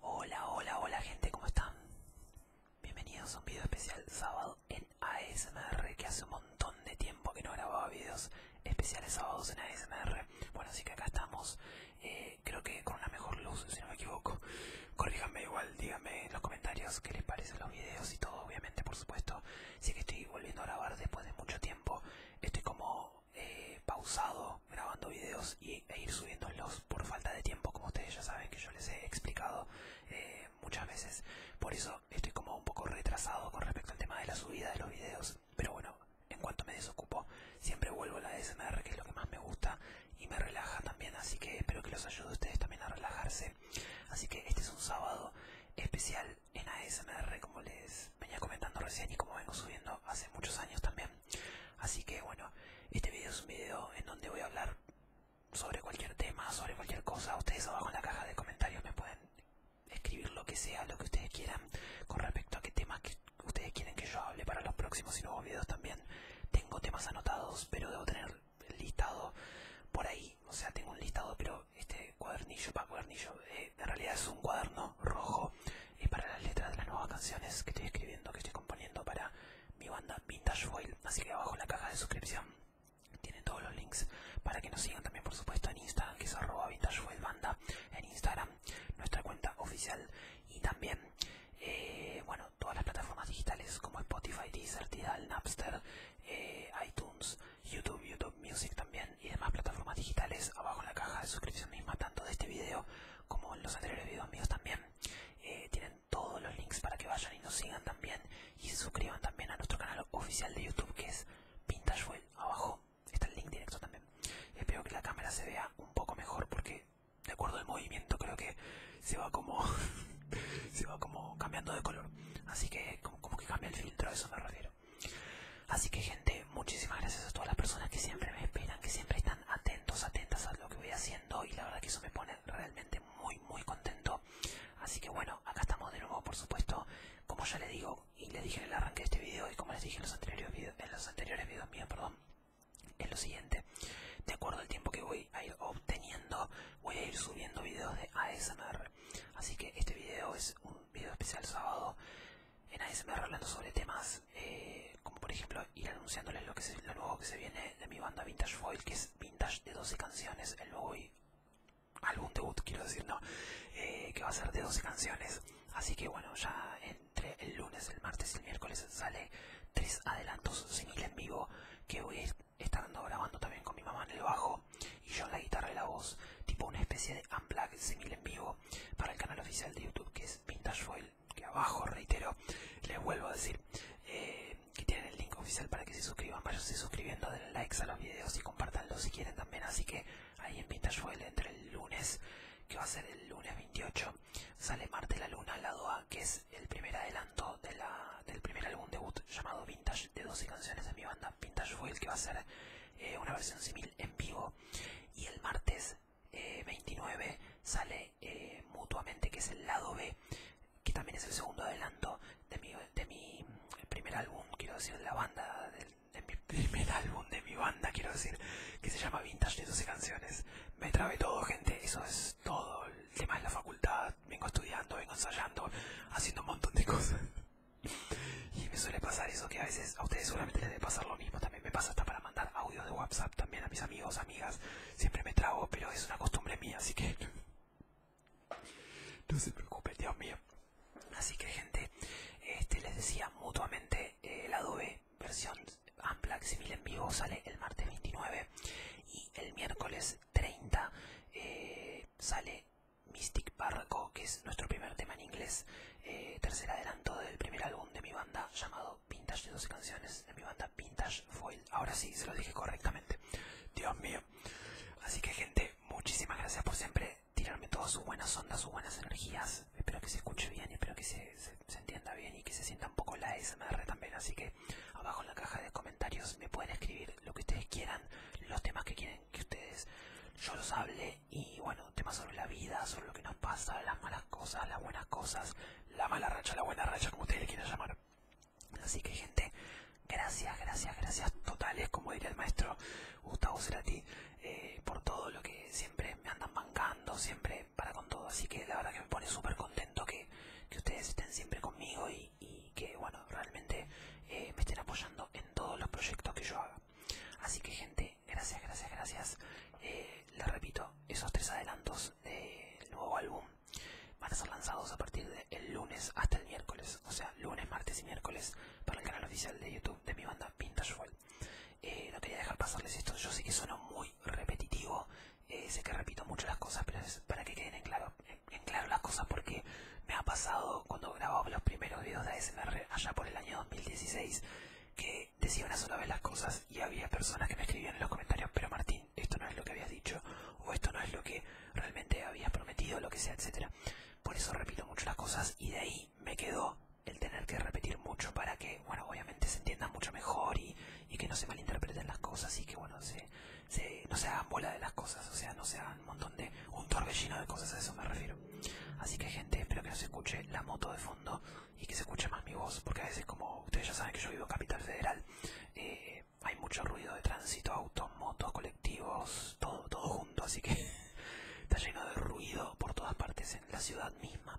Hola, hola, hola gente, ¿cómo están? Bienvenidos a un video especial sábado en ASMR, que hace un montón de tiempo que no grababa videos especiales sábados en ASMR. Bueno, así que acá estamos, eh, creo que con una mejor luz, si no me equivoco. Corríjame, igual, díganme en los comentarios qué les parecen los videos y todo, obviamente, por supuesto. Sí que estoy volviendo a grabar después de mucho tiempo, estoy como he eh, pausado grabando videos y, e ir subiéndolos por falta de tiempo, como ustedes ya saben que yo les he explicado eh, muchas veces. Por eso estoy como un poco retrasado con respecto al tema de la subida de los videos. Pero bueno, en cuanto me desocupo, siempre vuelvo a la ASMR que es lo que más me gusta y me relaja también. Así que espero que los ayude ustedes también a relajarse. Así que este es un sábado especial en ASMR, como les venía comentando recién y como vengo subiendo hace muchos años también. Así que bueno, este video es un video en donde voy a hablar sobre cualquier tema, sobre cualquier cosa. Ustedes abajo en la caja de comentarios me pueden escribir lo que sea, lo que ustedes quieran con respecto a qué temas que ustedes quieren que yo hable para los próximos y nuevos videos también. Tengo temas anotados, pero debo tener listado por ahí. O sea, tengo un listado, pero este cuadernillo, para cuadernillo, eh, en realidad es un cuaderno rojo y para las letras de las nuevas canciones que estoy escribiendo, que estoy componiendo para mi banda Vintage Foil. Así que abajo en la caja de suscripción tienen todos los links para que nos sigan también, por supuesto, en Instagram, que es arroba en Instagram, nuestra cuenta oficial y también, eh, bueno, todas las plataformas digitales como Spotify, Deezer, Tidal, Napster, eh, iTunes, YouTube, YouTube Music también y demás plataformas digitales abajo en la caja de suscripción misma, tanto de este video como en los anteriores videos míos también. Eh, tienen todos los links para que vayan y nos sigan también y se suscriban también a nuestro canal oficial de YouTube que es Fuel Abajo está el link directo también. Espero que la cámara se vea un poco mejor porque de acuerdo al movimiento creo que se va como se va como cambiando de color. Así que como, que cambia el filtro, a eso me refiero. Así que gente, muchísimas gracias a todas las personas que siempre me esperan, que siempre están atentos, atentas a lo que voy haciendo y la verdad que eso me pone realmente muy, muy contento. Así que bueno, acá estamos de nuevo, por supuesto, como ya le digo y le dije en el arranque de este video y como les dije en los anteriores videos, en los anteriores videos míos, perdón, es lo siguiente, de acuerdo al tiempo que voy a ir obteniendo, voy a ir subiendo videos de ASMR. Así que este video es un video especial sábado en eh, ASMR hablando sobre temas eh, como por ejemplo ir anunciándoles lo, que es nuevo que se viene de mi banda Vintage Foil, que es Vintage de 12 canciones, el nuevo álbum debut quiero decir, no, eh, que va a ser de 12 canciones. Así que bueno, ya entre el lunes, el martes y el miércoles sale tres adelantos sin ir en vivo que voy a estar grabando también con mi mamá en el bajo y yo en la guitarra y la voz, tipo una especie de unplug similar en vivo para el canal oficial de YouTube que es Vintage Foil, que abajo reitero, les vuelvo a decir eh, que tienen el link oficial para que se suscriban, Vayanse suscribiendo, denle likes a los videos y compartanlos si quieren también, así que ahí en Vintage Foil entre el lunes, que va a ser el lunes 28, sale Marte la Luna la lado A, que es el primer adelanto del primer álbum debut llamado Vintage de 12 canciones de mi banda Vintage Foil que va a ser eh, una versión similar en vivo y el martes 29 eh, sale eh, mutuamente que es el lado B que también es el segundo adelanto de mi, mm, primer álbum quiero decir de la banda de, mi primer álbum de mi banda quiero decir que se llama Vintage de 12 canciones me trabe todo gente eso es todo el tema de la facultad vengo estudiando vengo ensayando haciendo un montón de cosas y me suele pasar eso que a veces a ustedes solamente les debe pasar lo mismo. También me pasa hasta para mandar audio de WhatsApp también a mis amigos, amigas. Siempre me trago, pero es una costumbre mía, así que... No se preocupen, Dios mío. Así que gente, este, les decía mutuamente el eh, Adobe versión ampla Simil en vivo sale el martes 29 y el miércoles 30 eh, sale Mystic Barraco, que es nuestro primer tema en inglés, eh, tercer adelanto del primer álbum de mi banda llamado Vintage de 12 canciones, de mi banda Vintage Foil. Ahora sí, se lo dije correctamente. Dios mío. Así que gente, muchísimas gracias por siempre tirarme todas sus buenas ondas, sus buenas energías. Espero que se escuche bien, espero que se, entienda bien y que se sienta un poco la SMR también. Así que abajo en la caja de comentarios me pueden escribir lo que ustedes quieran, los temas que quieren que ustedes, yo los hable y bueno, temas sobre la vida, sobre lo que nos pasa, las malas cosas, las buenas cosas, la mala racha, la buena racha, como ustedes le quieran llamar. Así que gente, gracias, gracias, gracias totales, como diría el maestro Gustavo Cerati, eh, por todo lo que siempre me andan mancando siempre para con todo. Así que la verdad que me pone súper contento que, ustedes estén siempre conmigo y y que bueno realmente eh, me estén apoyando en todos los proyectos que yo haga así que gente gracias gracias gracias eh, les repito esos tres adelantos del nuevo álbum van a ser lanzados a partir del lunes hasta el miércoles o sea lunes martes y miércoles para el canal oficial de youtube de mi banda vintage World. Eh, no quería dejar pasarles esto yo sé que suena muy repetitivo sé que repito mucho las cosas pero es para que queden en claro en, claro las cosas porque me ha pasado cuando grababa los primeros videos de ASMR allá por el año 2016 que decía una sola vez las cosas y había personas que me escribían en los comentarios, pero Martín, esto no es lo que habías dicho, o esto no es lo que realmente habías prometido, lo que sea, etcétera. Por eso repito mucho las cosas y de ahí me quedó el tener que repetir mucho para que, bueno, obviamente se entienda mucho mejor y, y que no se malinterpreten las cosas y que, bueno, se, no se hagan bola de las cosas, o sea, no se hagan un montón de, un torbellino de cosas, a eso me refiero. Así que gente, espero que no se escuche la moto de fondo y que se escuche más mi voz, porque a veces como ustedes ya saben que yo vivo en Capital Federal, eh, hay mucho ruido de tránsito, autos, motos, colectivos, todo, todo junto, así que está lleno de ruido por todas partes en la ciudad misma.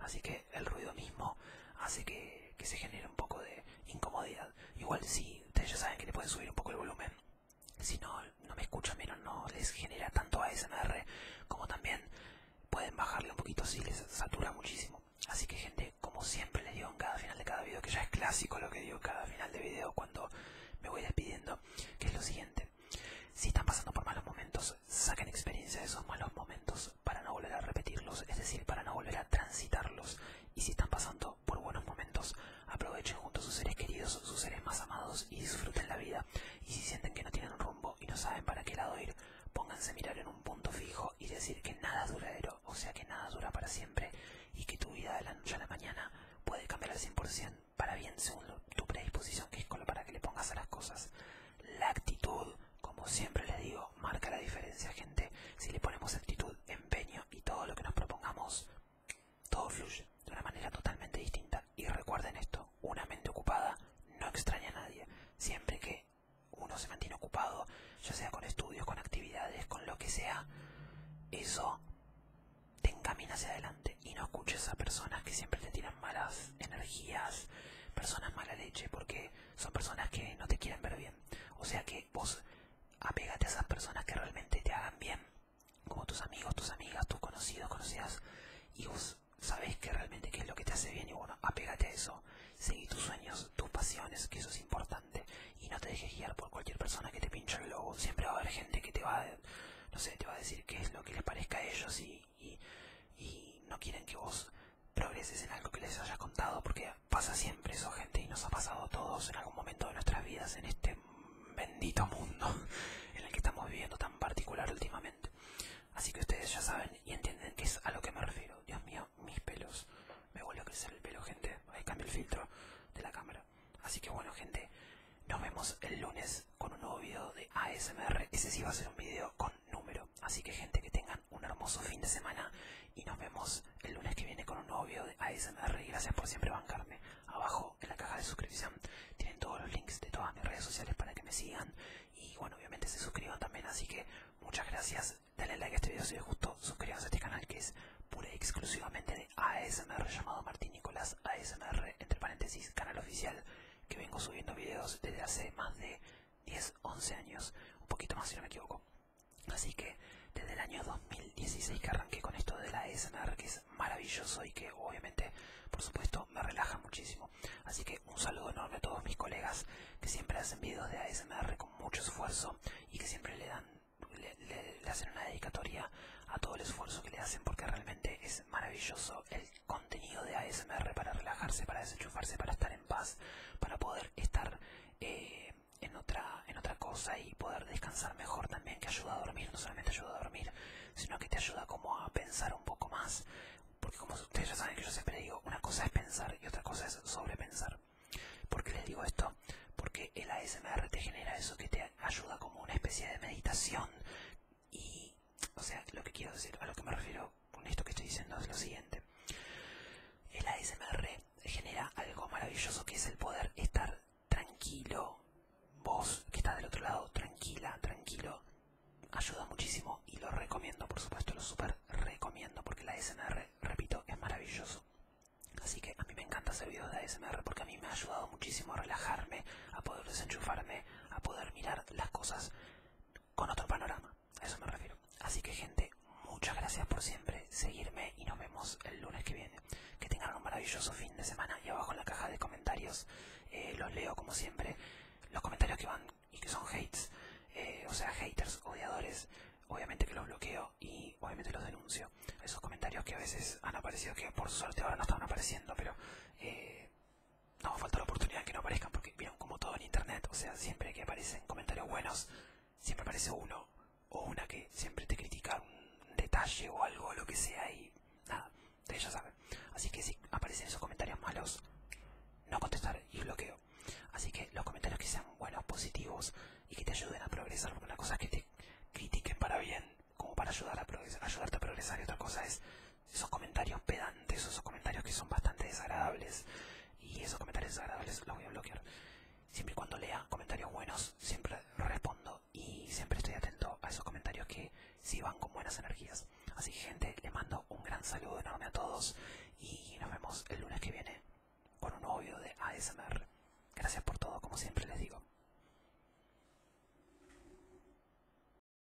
Así que el ruido mismo hace que, que se genere un poco de incomodidad. Igual si, ustedes ya saben que le pueden subir un poco el volumen. Si no, no me escuchan menos no les genera tanto ASMR como también pueden bajarle un poquito si les satura muchísimo. Así que gente, como siempre le digo en cada final de cada video, que ya es clásico lo que digo en cada final de video cuando me voy despidiendo, que es lo siguiente. Si están pasando por malos momentos, saquen experiencia de esos malos momentos para no volver a repetirlos, es decir, para no volver a transitarlos y si están pasando por buenos momentos, aprovechen junto a sus seres queridos, sus seres más amados y disfruten la vida. Y si sienten que no tienen rumbo y no saben para qué lado ir, pónganse a mirar en un punto fijo y decir que nada es duradero, o sea que nada dura para siempre y que tu vida de la noche a la mañana puede cambiar al 100% para bien según tu predisposición que es con para que le pongas a las cosas. La actitud, como siempre le digo, marca la diferencia, gente. Si le ponemos actitud, empeño y todo lo que nos propongamos, todo fluye de una manera totalmente distinta. Y recuerden esto, una mente ocupada no extraña a nadie. Siempre que uno se mantiene ocupado, ya sea con estudios, con actividades, con lo que sea, eso te encamina hacia adelante y no escuches a personas que siempre te tiran malas energías, personas mala leche, porque son personas que no te quieren ver bien. O sea que vos apegate a esas personas que realmente te hagan bien, como tus amigos, tus amigas, tus conocidos, conocidas, y vos sabés que realmente qué es lo que te hace bien y bueno, apegate a eso, seguí tus sueños, tus pasiones, que eso es importante, y no te dejes guiar por cualquier persona que te pinche el globo, siempre va a haber gente que te va a, decir qué es lo que les parezca a ellos y, no quieren que vos progreses en algo que les hayas contado porque pasa siempre eso, gente, y nos ha pasado a todos en algún momento de nuestras vidas en este bendito mundo en el que estamos viviendo tan particular últimamente. Así que ustedes ya saben y entienden que es a lo que me refiero. Dios mío, mis pelos. Me vuelve a crecer el pelo, gente. Ahí cambio el filtro de la cámara. Así que bueno, gente, nos vemos el lunes con un nuevo video de ASMR. Ese sí va a ser un video con número. Así que, gente, que tengan un hermoso fin de semana y nos vemos el lunes que viene con un nuevo video de ASMR gracias por siempre bancarme. Abajo en la caja de suscripción tienen todos los links de todas mis redes sociales para que me sigan y bueno, obviamente se suscriban también, así que muchas gracias. Denle like a este video si les gustó, suscríbanse a este canal que es pura y exclusivamente de ASMR llamado Martín Nicolás ASMR, entre paréntesis, canal oficial, que vengo subiendo videos desde hace más de 10, 11 años, un poquito más si no me equivoco. Así que desde el año 2016 que arranqué con esto de la ASMR que es maravilloso y que obviamente, por supuesto, me relaja muchísimo. Así que un saludo enorme a todos mis colegas que siempre hacen videos de ASMR con mucho esfuerzo y que siempre le dan hacen una dedicatoria a todo el esfuerzo que le hacen porque realmente es maravilloso el contenido de ASMR para relajarse, para desenchufarse, para estar en paz para poder estar eh, en, otra, en otra cosa y poder descansar mejor también, que ayuda a dormir, no solamente ayuda a dormir, sino que te ayuda como a pensar un poco más, porque como ustedes ya saben que yo siempre digo, una cosa es pensar y otra cosa es sobrepensar. ¿Por qué les digo esto? Porque el ASMR te genera eso que te ayuda como una especie de meditación y, o sea, lo que quiero decir, a lo que me refiero con esto que estoy diciendo es lo siguiente. El ASMR genera algo maravilloso que es el poder estar tranquilo. Vos que estás del otro lado, tranquila, tranquilo. Ayuda muchísimo y lo recomiendo, por supuesto, lo super recomiendo porque la ASMR, repito, es maravilloso. Así que a mí me encanta hacer videos de ASMR porque a mí me ha ayudado muchísimo a relajarme, a poder desenchufarme, a poder mirar las cosas con otro panorama a eso me refiero. Así que gente, muchas gracias por siempre seguirme y nos vemos el lunes que viene. Que tengan un maravilloso fin de semana y abajo en la caja de comentarios eh, los leo como siempre. Los comentarios que van y que son hates, eh, o sea, haters, odiadores, obviamente que los bloqueo y obviamente los denuncio. Esos comentarios que a veces han aparecido, que por suerte ahora no están apareciendo, pero... Eh, no falta la oportunidad que no aparezcan porque vieron como todo en internet, o sea, siempre que aparecen comentarios buenos, siempre aparece uno o una que siempre te critica un detalle o algo, lo que sea, y nada, de ya saben. Así que si aparecen esos comentarios malos, no contestar y bloqueo. Así que los comentarios que sean buenos, positivos y que te ayuden a progresar, porque una cosa es que te critiquen para bien, como para ayudar a ayudarte a progresar, y otra cosa es esos comentarios pedantes, esos comentarios que son bastante desagradables. Y esos comentarios desagradables los voy a bloquear. Siempre y cuando lea comentarios buenos, siempre respondo y siempre estoy atento a esos comentarios que sí van con buenas energías. Así que gente, les mando un gran saludo enorme a todos y nos vemos el lunes que viene con un nuevo video de ASMR. Gracias por todo, como siempre les digo.